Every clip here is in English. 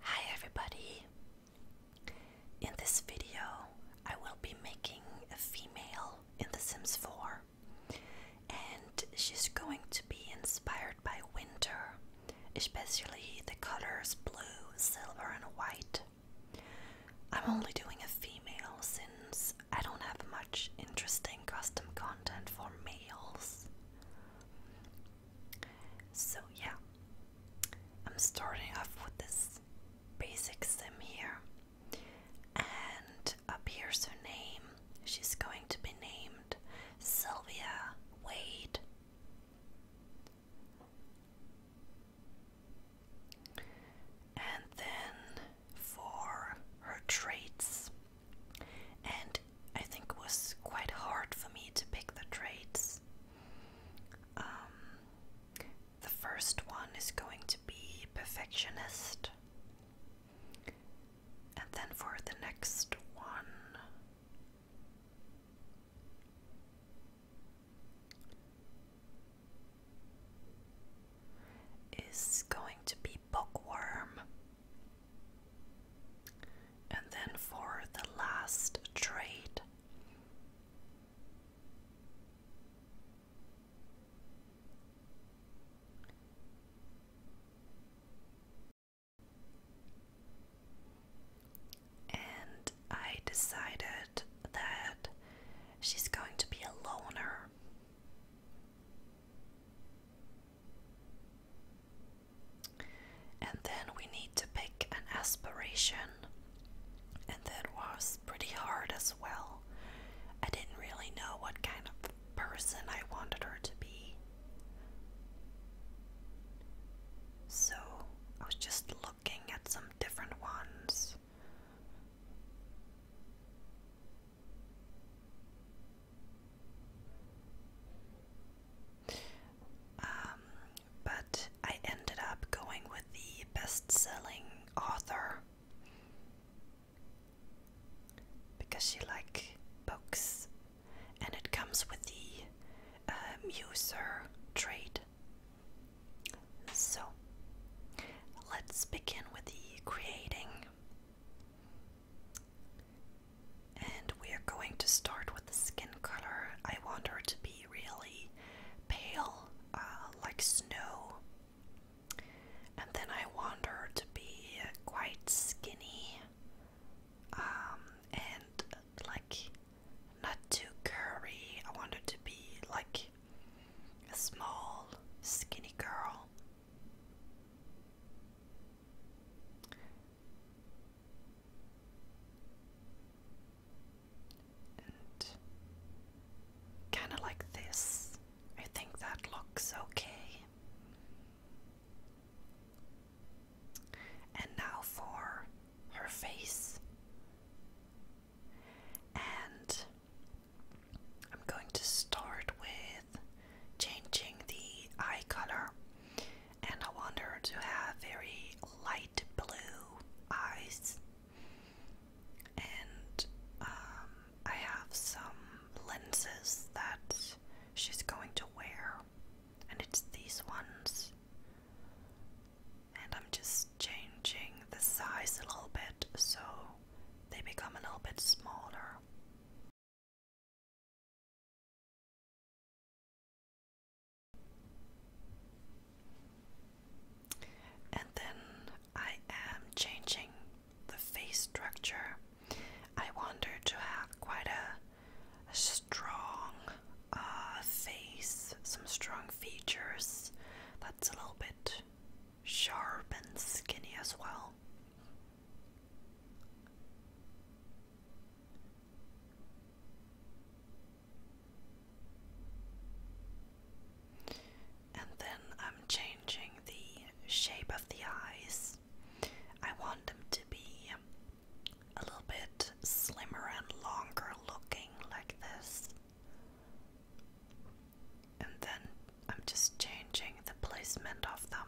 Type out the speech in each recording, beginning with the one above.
Hi everybody! In this video I will be making a female in The Sims 4 and she's going to be inspired by winter, especially the colors blue, silver and white. I'm only doing a female since I don't have much interesting custom content for males. So, yeah, I'm starting off with this basic sim here, and up here's her name. She's going to be named Sylvia Wade. And then for her traits, and I think it was quite hard for me to pick the traits. Um, the first one is going to be perfectionist, and then for the next one, is going to be bookworm. And then for the last trade, and I decided that she's going to be a loner. And then we need to pick an aspiration, and that was pretty hard as well. I didn't really know what kind of person I wanted her to be. So I was just looking at some different ones. Um, but I ended up going with the best selling author because she likes books and it comes with the uh, museur trait. So, let's begin with the creating. And we are going to start with the skin color. I want her to be really pale, uh, like snow. And then I want her to be quite skinny um, and like not too curvy. I wanted to be like a small, skinny girl. And kind of like this. I think that looks okay. And now for her face. And I'm going to start with changing the eye color. And I want her to have very light blue eyes. And um, I have some lenses that she's going to wear, and it's these ones and I'm just changing the size a little bit so they become a little bit smaller. And then I am changing the face structure. I wanted to have quite a strong uh, face, some strong features that's a little bit sharp and skinny as well. And then I'm changing the shape of the eyes. I want them to be a little bit slimmer and longer looking like this. And then I'm just changing the placement of them.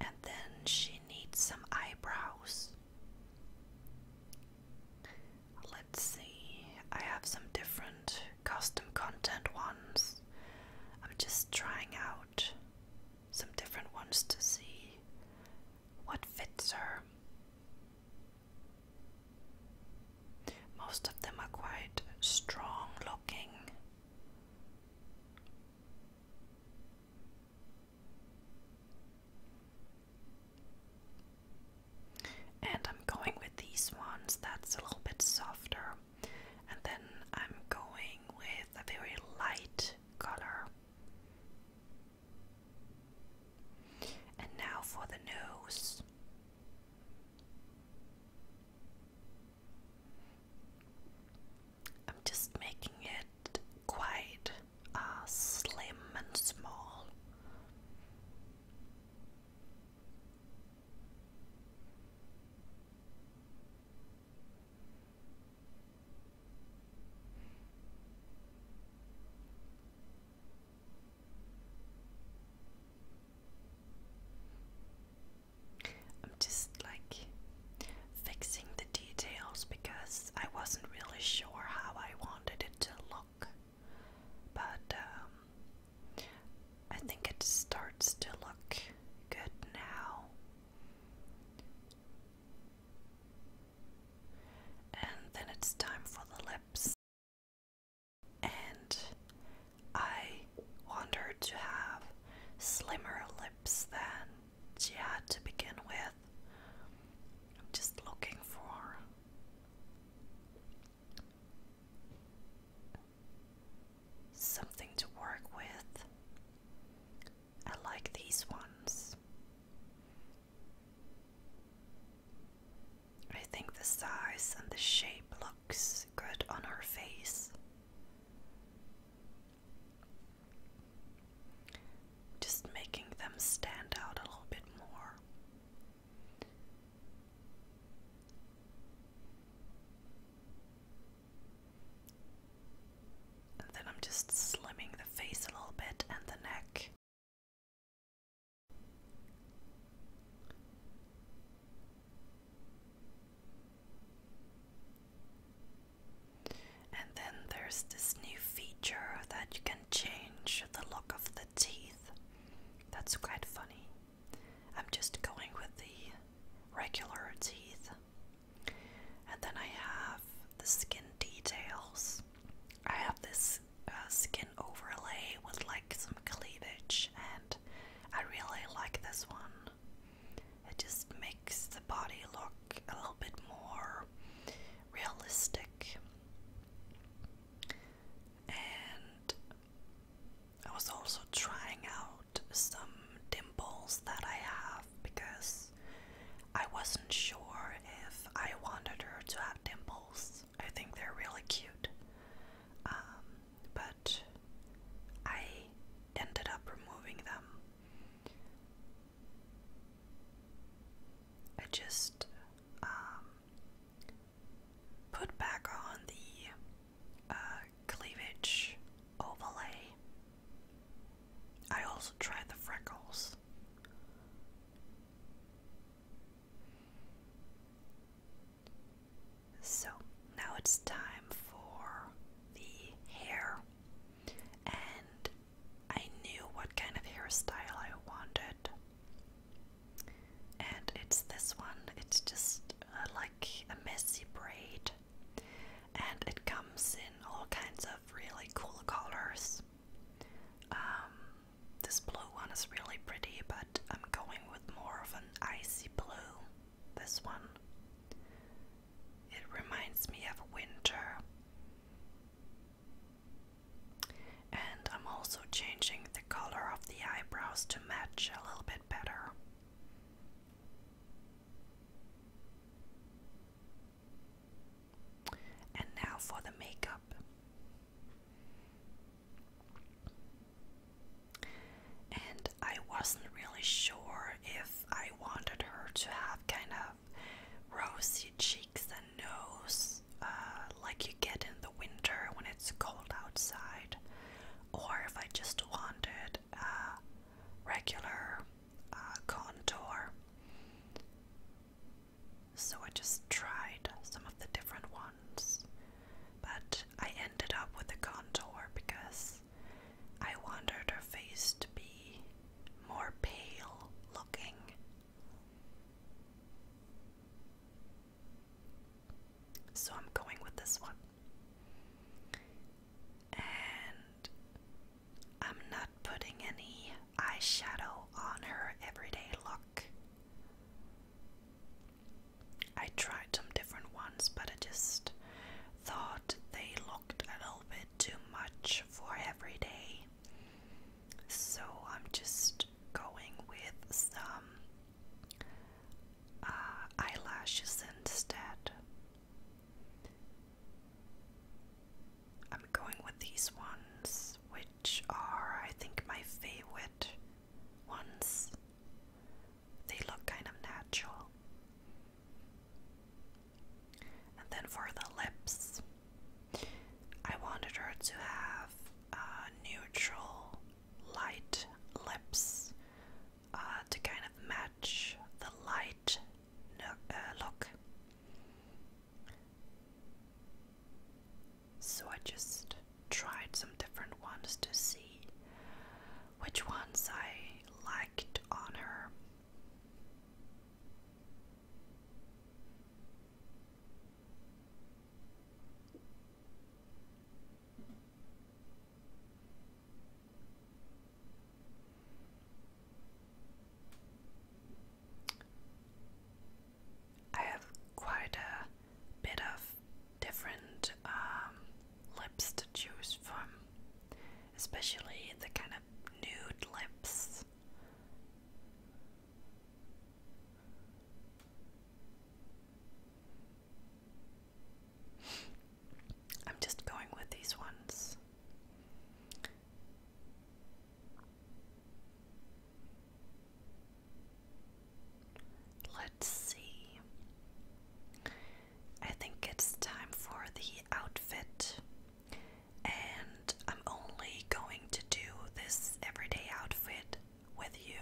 And then she needs some eyebrows. Let's see, I have some different custom content ones. I'm just trying out some different ones to see what fits her. Most of them are quite strong looking. And I'm going with these ones that's a little bit softer. And then I'm going with a very light color. And now for the nose. I'm just making it quite uh, slim and small. I'm just like fixing the details because I wasn't really sure how I wanted it to look. But um, I think it starts to look good now. And then it's time for the lips. And I wanted her to have slimmer lips than she had to begin with. just looking for something to work with. I like these ones. I think the size and the shape looks good on her face. Just making them stand out a little bit more. And then I'm just slimming the face a little bit and the neck. And then there's this new feature that you can change the look of the teeth. That's quite funny. I'm just going with the regular teeth. And then I have the skin details. I have this uh, skin overlay with like some cleavage, and I really like this one. It just makes the body look a little bit more realistic and I was also trying out some dimples that I have because I wasn't sure if I wanted her to have dimples. I think they're really cute. Um, but I ended up removing them. I just um, put back on the uh, cleavage overlay. I also tried the freckles. So now it's time for the hair, and I knew what kind of hairstyle I wanted. And it's this one. It's just uh, like a messy braid. And it comes in all kinds of really cool colors. Um, this blue one is really pretty, but I'm going with more of an icy blue. This one. It reminds me of winter. And I'm also changing the color of the eyebrows to match a little bit better. And now for the makeup. And I wasn't really sure if I wanted her to have kind of rosy cheeks and nose, uh, like you get in the winter when it's cold outside, or if I just wanted a regular uh, contour. So I just tried some of the different ones, but I ended up with a contour because I wanted her face to be more pale looking so I'm going with this one. And I'm not putting any eyeshadow on her everyday look. I tried some different ones, but I just thought they looked a little bit too much for everyday so I'm just going with some uh, eyelashes instead. I'm going with these ones, which are, I think, my favorite ones. They look kind of natural. And then for the lips, I wanted her to have uh, neutral light lips uh, to kind of match the light uh, look. So I just tried some different ones to see which ones I liked on her. I have quite a bit of different um, lips to choose from, especially the kind of nude lips I'm just going with these ones. Let's see. I think it's time for the outfit and I'm only going to do this everyday outfit with you,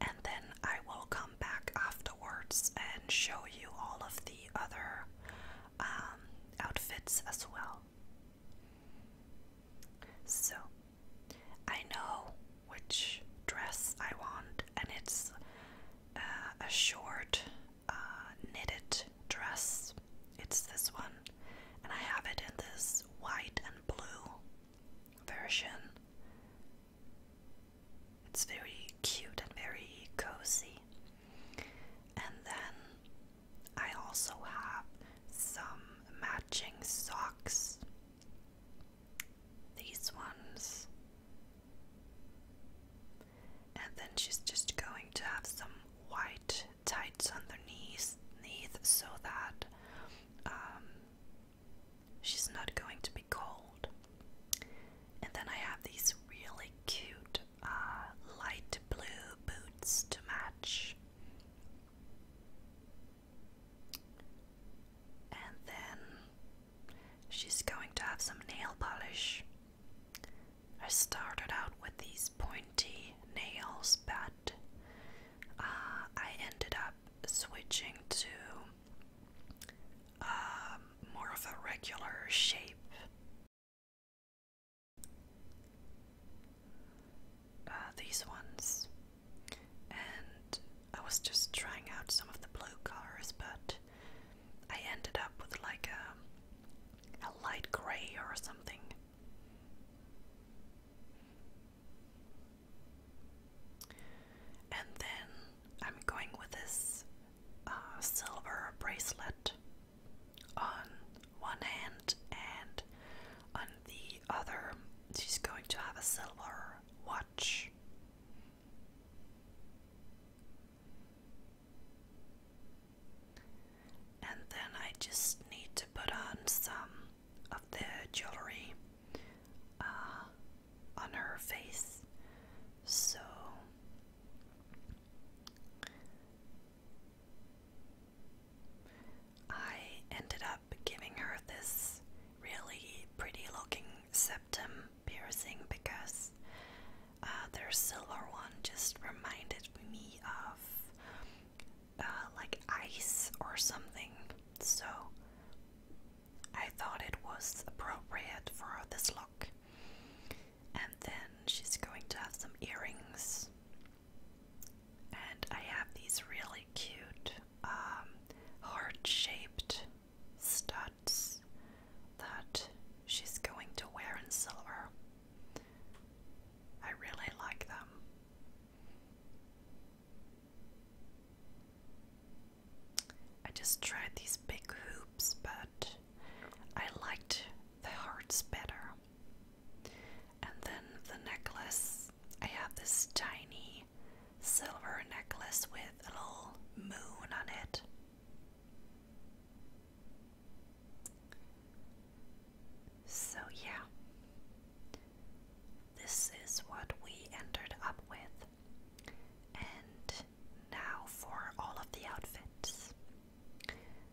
and then I will come back afterwards and show you all of the other um, outfits as well. So, I know which dress I want, and it's uh, a short uh, knitted dress. It's this one, and I have it in this white and blue version. It's very cute and very cozy. And then I also have some matching socks. These ones and then she's just going to have some white tights underneath so that um, she's not going to be cold. And then I have these really cute uh, light blue boots to match. And then she's going to have some nail polish. I started out with these pointy nails, but uh, I ended up switching to um, more of a regular shape. Uh, these ones, and I was just trying out some of the blue colors, but I ended up with like a, a light gray or something. And then I'm going with this uh, silver bracelet on one hand, and on the other, she's going to have a silver watch. And then I just need to put on some of the jewelry uh, on her face. So I ended up giving her this really pretty looking septum piercing because uh, their silver one just reminded me of uh, like ice or something, so I thought it was appropriate for this look. And then she's going to have some earrings, and I have these really cute um, heart shaped studs that she's going to wear in silver. I really like them. I just tried these big hoops, but I liked the hearts better. And then the necklace, I have this tiny silver necklace with a little moon on it. So, yeah, this is what we ended up with, and now for all of the outfits.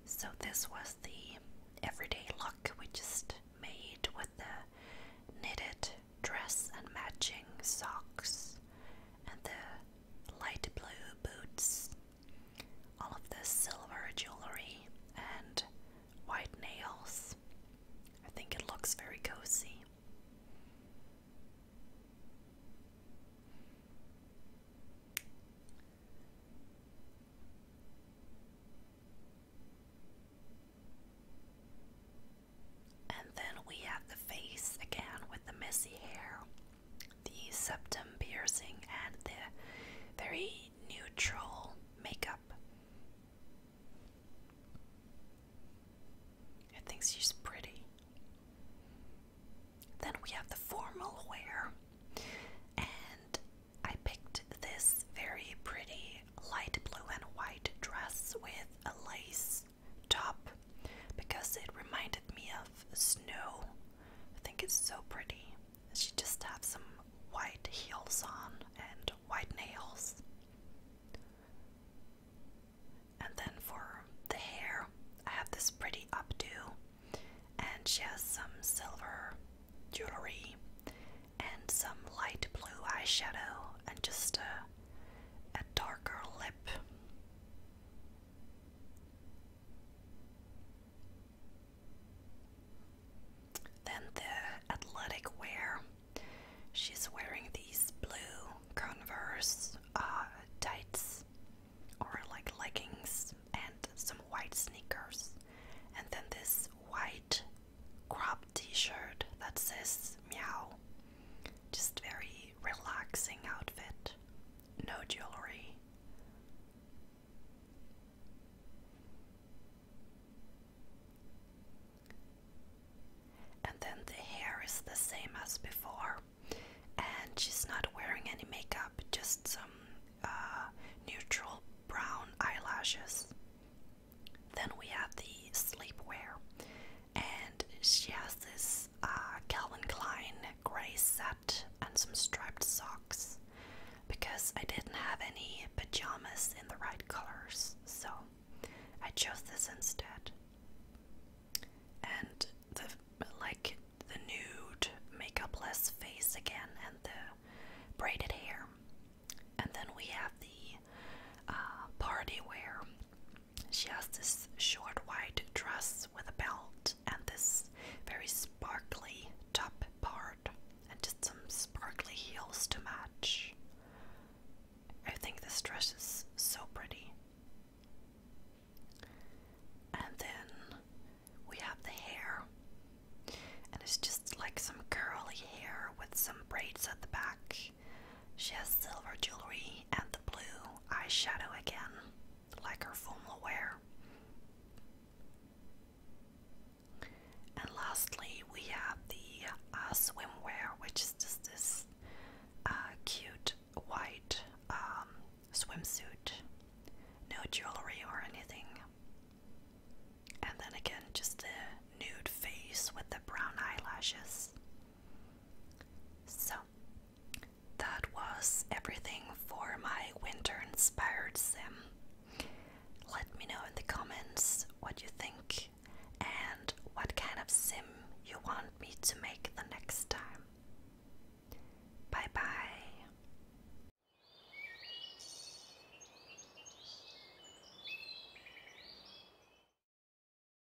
So, this was the everyday look we just made with the knitted dress and matching socks and the light blue boots, all of this silver jewelry, and white nails. I think it looks very cozy. And then we have the face again with the messy hair the septum piercing, and the very neutral makeup. I think she's pretty. Then we have the formal wear, and I picked this very pretty light blue and white dress with a lace top because it reminded me of snow. I think it's so pretty. She just has some white heels on and white nails. And then for the hair, I have this pretty updo, and she has some silver jewelry and some light blue eyeshadow and just a, a darker lip. Then the athletic wear. She's wearing these blue Converse uh, tights or like leggings and some white sneakers. And then this white crop t shirt that says meow. Just very relaxing outfit. No jewelry. And then the hair is the same as before. And she's not wearing any makeup, just some uh, neutral brown eyelashes. Then we have the sleepwear, and she has this uh, Calvin Klein grey set and some striped socks because I didn't have any pajamas in the right colors, so I chose this instead. And the like the nude makeup-less face again, and the braided hair, and then we have the uh, party wear she has this short white dress with a belt and this very sparkly top part, and just some sparkly heels to match. I think this dress is so pretty. And then we have the hair, and it's just like some curly hair with some braids at the back. She has silver jewelry and the blue eyeshadow again, like her formal wear. And lastly, we have the uh, swimwear, which is just this uh, cute white um, swimsuit, no jewelry or anything. And then again, just the nude face with the brown eyelashes. So that was everything for my winter inspired sim. Let me know in the comments what you think and what kind of sim you want me to make the next time. Bye bye.